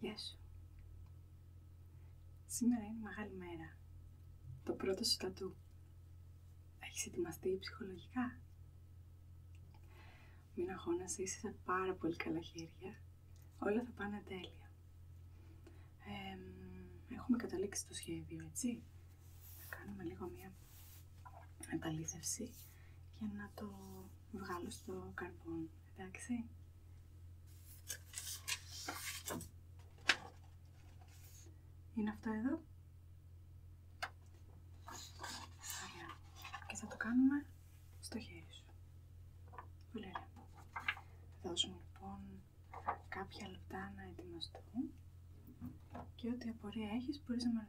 Γεια σου. Σήμερα είναι μεγάλη μέρα. Το πρώτο σου τατού. Έχεις ετοιμαστεί ψυχολογικά. Μην αγώνας, είσαι σε πάρα πολύ καλά χέρια. Όλα θα πάνε τέλεια. έχουμε καταλήξει το σχέδιο, έτσι. Θα κάνουμε λίγο μία επαλήθευση για να το βγάλω στο καρπόν, εντάξει. Είναι αυτό εδώ. Και θα το κάνουμε στο χέρι σου. Πολύ ωραία. Θα δώσουμε λοιπόν κάποια λεπτά να ετοιμαστούν και ό,τι απορία έχεις μπορείς να με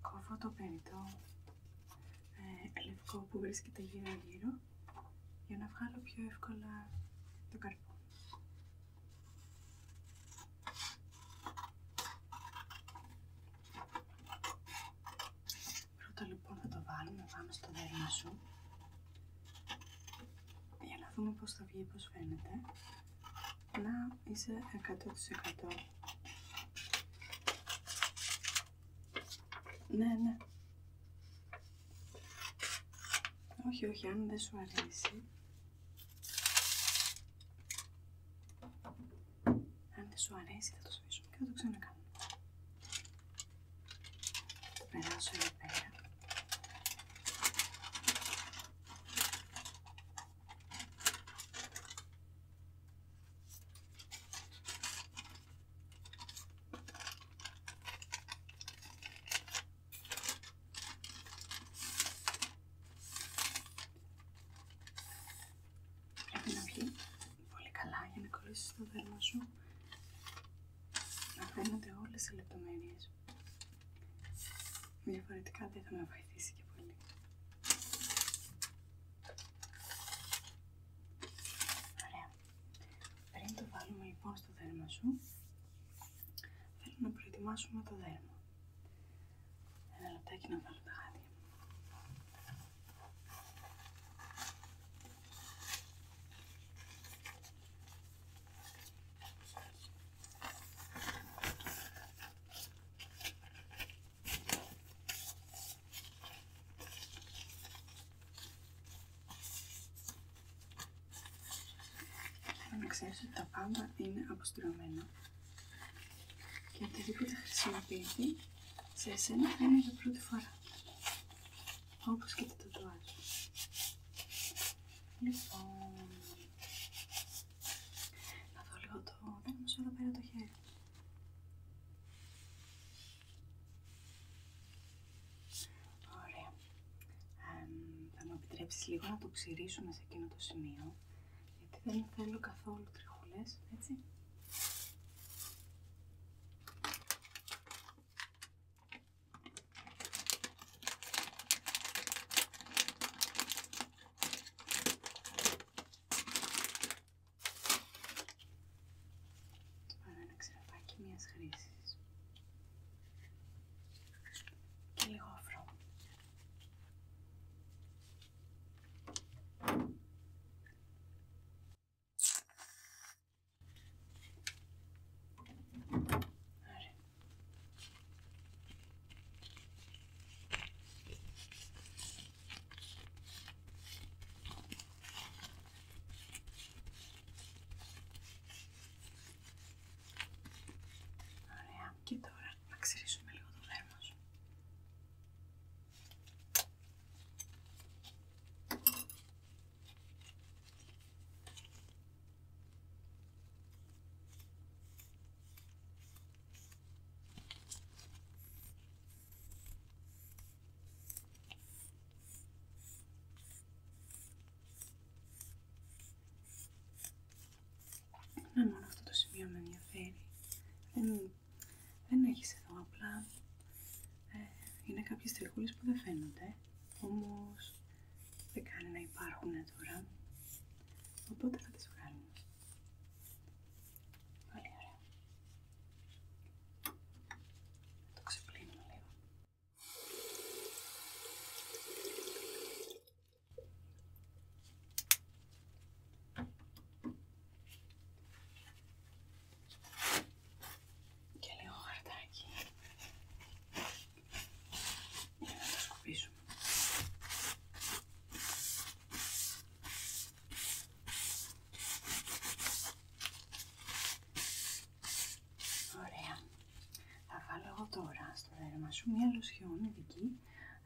Κόβω το περιττό ε, λευκό που βρίσκεται γύρω γύρω για να βγάλω πιο εύκολα το καρπό. Πρώτα λοιπόν θα το βάλουμε πάνω στο δέρμα σου για να δούμε πώς θα βγει, πώς φαίνεται να είσαι 100%. Ναι, ναι. Όχι, όχι, αν δεν σου αρέσει. Αν δεν σου αρέσει θα το σβήσουμε και θα το ξανακάνουμε. να περάσω εδώ πέρα. Πρέπει να βγει πολύ καλά για να κολλήσει το δέρμα σου να φαίνονται όλες οι λεπτομέρειες. Διαφορετικά δεν θα με βοηθήσει και πολύ. Ωραία. Πριν το βάλουμε λοιπόν στο δέρμα σου, θέλω να προετοιμάσουμε το δέρμα. Ένα λεπτάκι να βάλω τα χάδια να ξέρεις ότι τα πάντα είναι αποστηρωμένα και οτιδήποτε χρησιμοποιηθεί σε εσένα είναι για πρώτη φορά όπως και το τατουάζ λοιπόν να δω λίγο το... δεν σου πέρα το χέρι. Ωραία. θα μου επιτρέψεις λίγο να το ξυρίσουμε σε εκείνο το σημείο, γιατί δεν θέλω καθόλου τριχούλες, έτσι. Πάρα ένα ξεραφάκι μιας χρήσης. Και λίγο αφρό. Ωραία. Και τώρα να ξυρίσουμε λίγο το δέρμα σου. Να μόνο αυτό το σημείο με ενδιαφέρει. Δεν, έχει έχεις εδώ απλά. Ε, είναι κάποιες τριχούλες που δεν φαίνονται. Όμως δεν κάνει να υπάρχουν τώρα, οπότε θα τις βγάλουμε. Πολύ ωραία. Το ξεπλύνουμε λίγο. Και λίγο χαρτάκι για να τα σκουπίσουμε. Ωραία. Θα βάλω εγώ τώρα στο δέρμα σου μια λουσιόν δική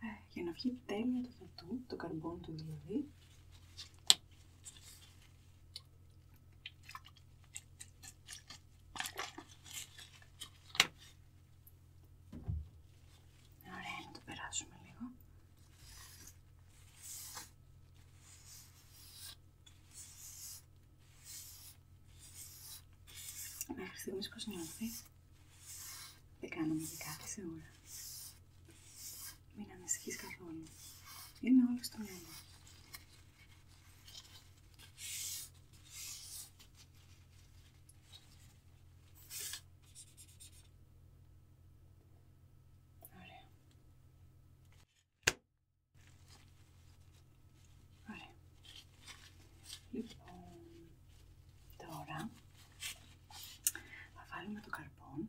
ε, για να βγει τέλεια το τατού, το καρμπόν του δηλαδή. Ωραία, να το περάσουμε λίγο. Μέχρι στιγμής πώς Δεν κάνουμε και κάτι σίγουρα. Μην ανησυχείς καθόλου. Είναι όλο στο μυαλό. Ωραία. Λοιπόν, τώρα θα βάλουμε το καρπόν.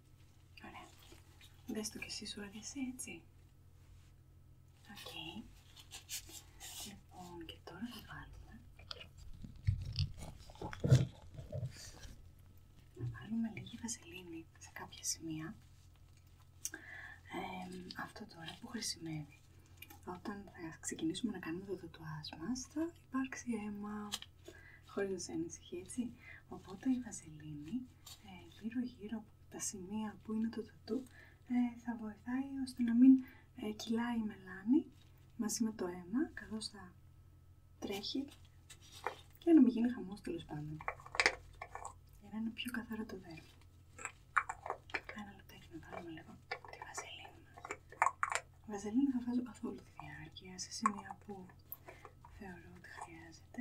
Ωραία. Δες το κι εσύ σου αρέσει, έτσι. Οκ. Λοιπόν, και τώρα θα βάλουμε... Να βάλουμε λίγη βασιλίνη σε κάποια σημεία. αυτό τώρα που χρησιμεύει. Όταν θα ξεκινήσουμε να κάνουμε το τατουάζ μας, θα υπάρξει αίμα χωρίς να σε ανησυχεί, έτσι. Οπότε η βαζελίνη ε, γύρω γύρω από τα σημεία που είναι το τατού ε, θα βοηθάει ώστε να μην ε, κυλάει η μελάνη μαζί με το αίμα καθώς θα τρέχει και να μην γίνει χαμός τέλος πάντων για να είναι πιο καθαρό το δέρμα ένα λεπτάκι να βάλουμε λίγο τη βαζελίνη μας βαζελίνη θα βάζω καθόλου τη διάρκεια σε σημεία που θεωρώ ότι χρειάζεται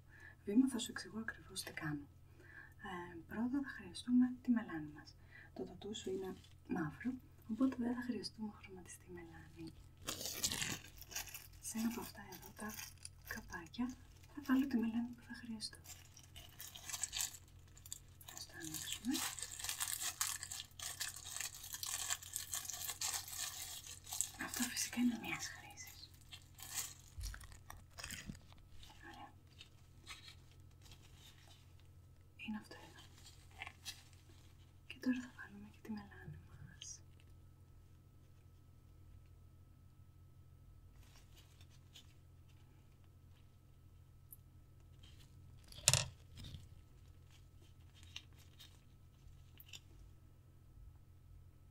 βήμα θα σου εξηγώ ακριβώς τι κάνω. Ε, πρώτα θα χρειαστούμε τη μελάνη μας. Το τατού είναι μαύρο, οπότε δεν θα χρειαστούμε χρωματιστή μελάνη. Σε ένα από αυτά εδώ τα καπάκια θα βάλω τη μελάνη που θα χρειαστώ. Ας το ανοίξουμε. Αυτό φυσικά είναι μια χρήση. Ωραία. Είναι αυτό εδώ. Και τώρα θα βάλουμε και τη μελάνη μας.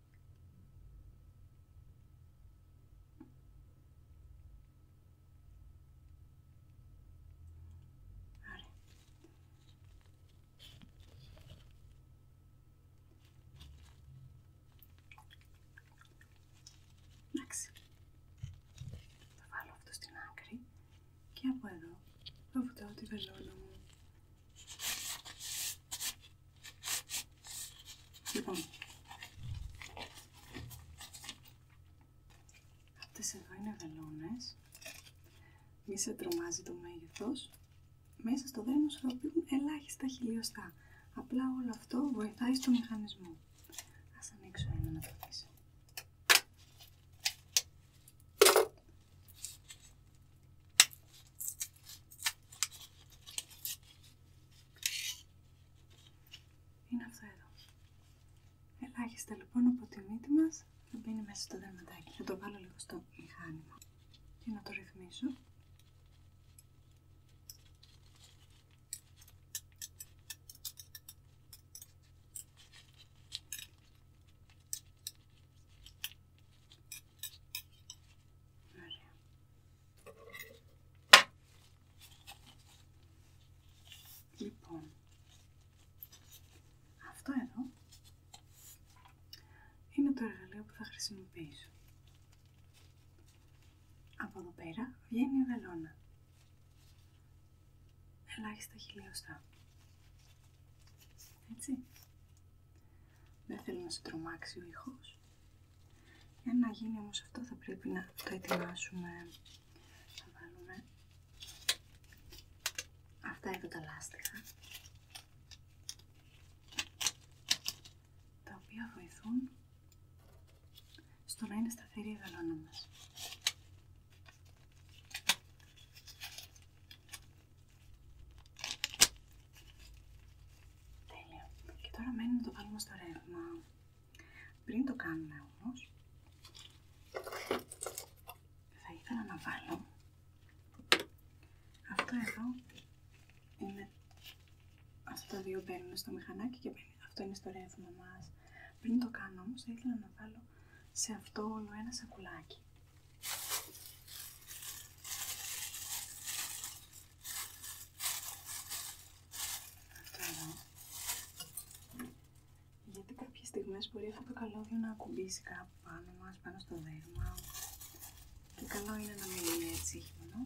Ωραία. Θα βάλω αυτό στην άκρη και από εδώ θα βουτάω τη βελόνα μου. Λοιπόν, αυτές εδώ είναι βελόνες. Μη σε τρομάζει το μέγεθος. Μέσα στο δέντρο σου ελάχιστα χιλιοστά. Απλά όλο αυτό βοηθάει στο μηχανισμό. Ας ανοίξω ένα να το δεις. Είναι αυτό εδώ. Ελάχιστα λοιπόν από τη μύτη μας θα μπαίνει μέσα στο δερματάκι. Θα το βάλω λίγο στο μηχάνημα και να το ρυθμίσω. Λοιπόν, αυτό εδώ είναι το εργαλείο που θα χρησιμοποιήσω. Από εδώ πέρα βγαίνει η βελόνα. Ελάχιστα χιλιοστά. Έτσι. Δεν θέλω να σε τρομάξει ο για να γίνει όμως αυτό θα πρέπει να το ετοιμάσουμε. να βάλουμε αυτά εδώ τα λάστιχα. Τα οποία βοηθούν στο να είναι σταθερή η γαλόνα Τέλειο. Και τώρα μένει να το βάλουμε στο ρεύμα. Πριν το κάνουμε όμως, θα ήθελα να βάλω αυτό εδώ είναι αυτά τα δύο μπαίνουν στο μηχανάκι και αυτό είναι στο ρεύμα μας. Πριν το κάνω όμως θα ήθελα να βάλω σε αυτό όλο ένα σακουλάκι. Γιατί κάποιες στιγμές μπορεί αυτό το καλώδιο να ακουμπήσει κάπου πάνω μας, πάνω στο δέρμα. Και καλό είναι να μην είναι έτσι χειμωνό.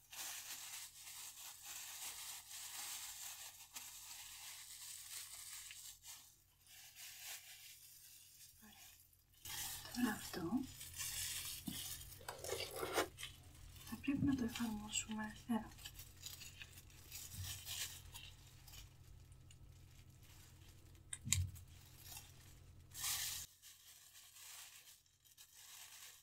Ωραία. Τώρα αυτό θα πρέπει να το εφαρμόσουμε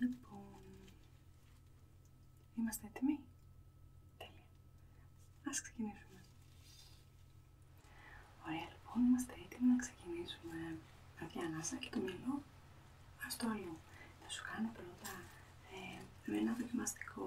Λοιπόν, είμαστε έτοιμοι. Τέλεια. Ας ξεκινήσουμε. Ωραία, λοιπόν, είμαστε έτοιμοι να ξεκινήσουμε. Αδειά ανάσα και το μυαλό, ας το άλλο. Θα σου κάνω πρώτα ε, με ένα δοκιμαστικό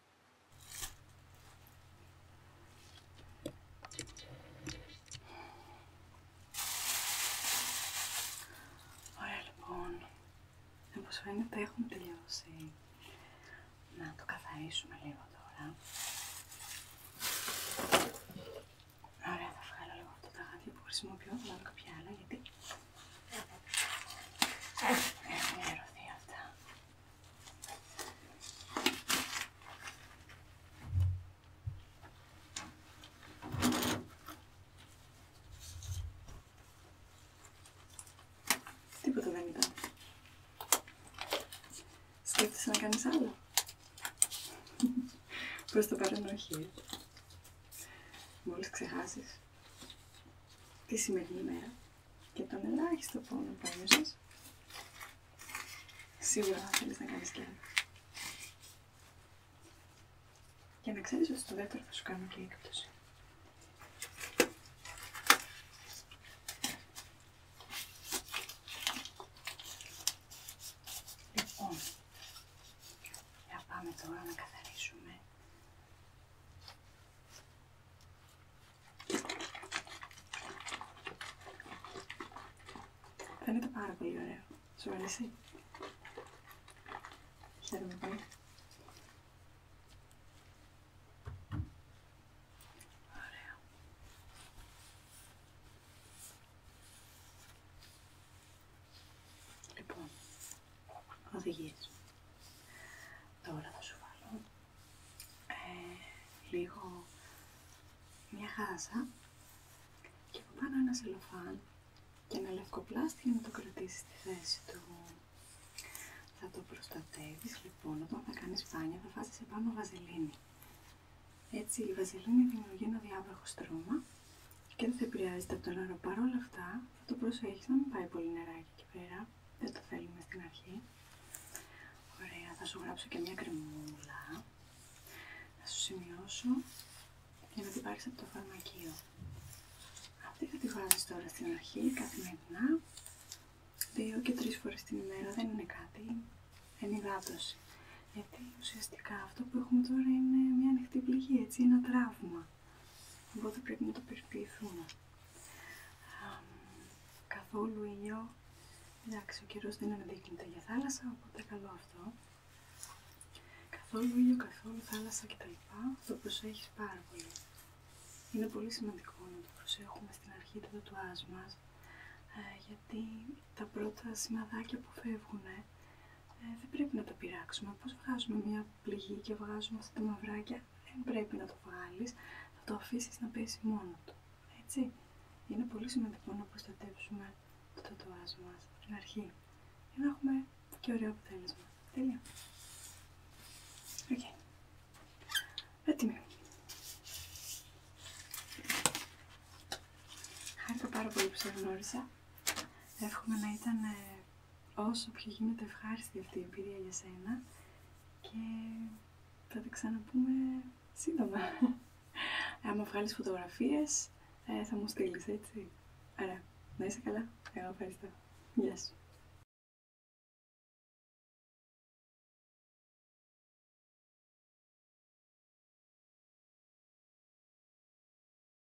Ωραία λοιπόν, όπως φαίνεται έχουμε τελειώσει. Να το καθαρίσουμε λίγο τώρα. Ωραία, θα βγάλω λίγο αυτό το γάντια που χρησιμοποιώ, θα βάλω κάποια άλλα γιατί έχουν ιερωθεί αυτά. Τίποτα δεν ήταν. Σκέφτεσαι να κάνεις άλλο. Προς το παρόν όχι. Μόλις ξεχάσεις τη σημερινή μέρα και τον ελάχιστο πόνο που ένιωσες, σίγουρα θα θέλεις να κάνεις και ένα. Για να ξέρεις ότι στο δεύτερο θα σου κάνω και έκπτωση. Λοιπόν, θα πάμε τώρα να καθαρίσουμε Φαίνεται πάρα πολύ ωραίο. Σου αρέσει. Χαίρομαι πολύ. Λοιπόν, οδηγίες. Τώρα θα σου βάλω ε, λίγο μια χάζα και από πάνω ένα σελοφάν και ένα λευκό πλάστη για να το κρατήσει στη θέση του. Θα το προστατεύεις λοιπόν όταν θα κάνεις σπάνια θα βάζεις επάνω βαζελίνη. Έτσι η βαζελίνη δημιουργεί ένα διάβροχο στρώμα και δεν θα επηρεάζεται από το νερό. Παρ' όλα αυτά, θα το προσέχεις να μην πάει πολύ νεράκι εκεί πέρα. Δεν το θέλουμε στην αρχή. Ωραία, θα σου γράψω και μια κρεμούλα. Θα σου σημειώσω για να την πάρεις από το φαρμακείο. Αυτή θα τη βάζεις τώρα στην αρχή, καθημερινά. Δύο και τρει φορές την ημέρα δεν είναι κάτι ενυδάτωση. Γιατί ουσιαστικά αυτό που έχουμε τώρα είναι μια ανοιχτή πληγή, έτσι, ένα τραύμα οπότε πρέπει να το περιποιηθούμε. Καθόλου ήλιο. Εντάξει, ο καιρό δεν αναδείκνυται για θάλασσα, οπότε καλό αυτό. Καθόλου ήλιο, καθόλου θάλασσα κτλ. Το προσέχει πάρα πολύ. Είναι πολύ σημαντικό να το προσέχουμε στην αρχή του τατουάζ μα ε, γιατί τα πρώτα σημαδάκια που φεύγουν ε, δεν πρέπει να το πειράξουμε. Πώς βγάζουμε μια πληγή και βγάζουμε αυτά τα μαυράκια, δεν πρέπει να το βγάλεις, θα το αφήσεις να πέσει μόνο του. Έτσι, είναι πολύ σημαντικό να προστατεύσουμε το τατουάζ μας στην αρχή για να έχουμε και ωραίο αποτέλεσμα. Τέλεια. Οκ. Okay. Έτοιμη. Χάρηκα πάρα πολύ που σε γνώρισα. Εύχομαι να ήταν ε, όσο πιο γίνεται ευχάριστη αυτή η εμπειρία για σένα και θα τα ξαναπούμε σύντομα. Άμα βγάλεις φωτογραφίες ε, θα μου στείλεις, έτσι. Άρα, να είσαι καλά. Εγώ ευχαριστώ. Γεια σου.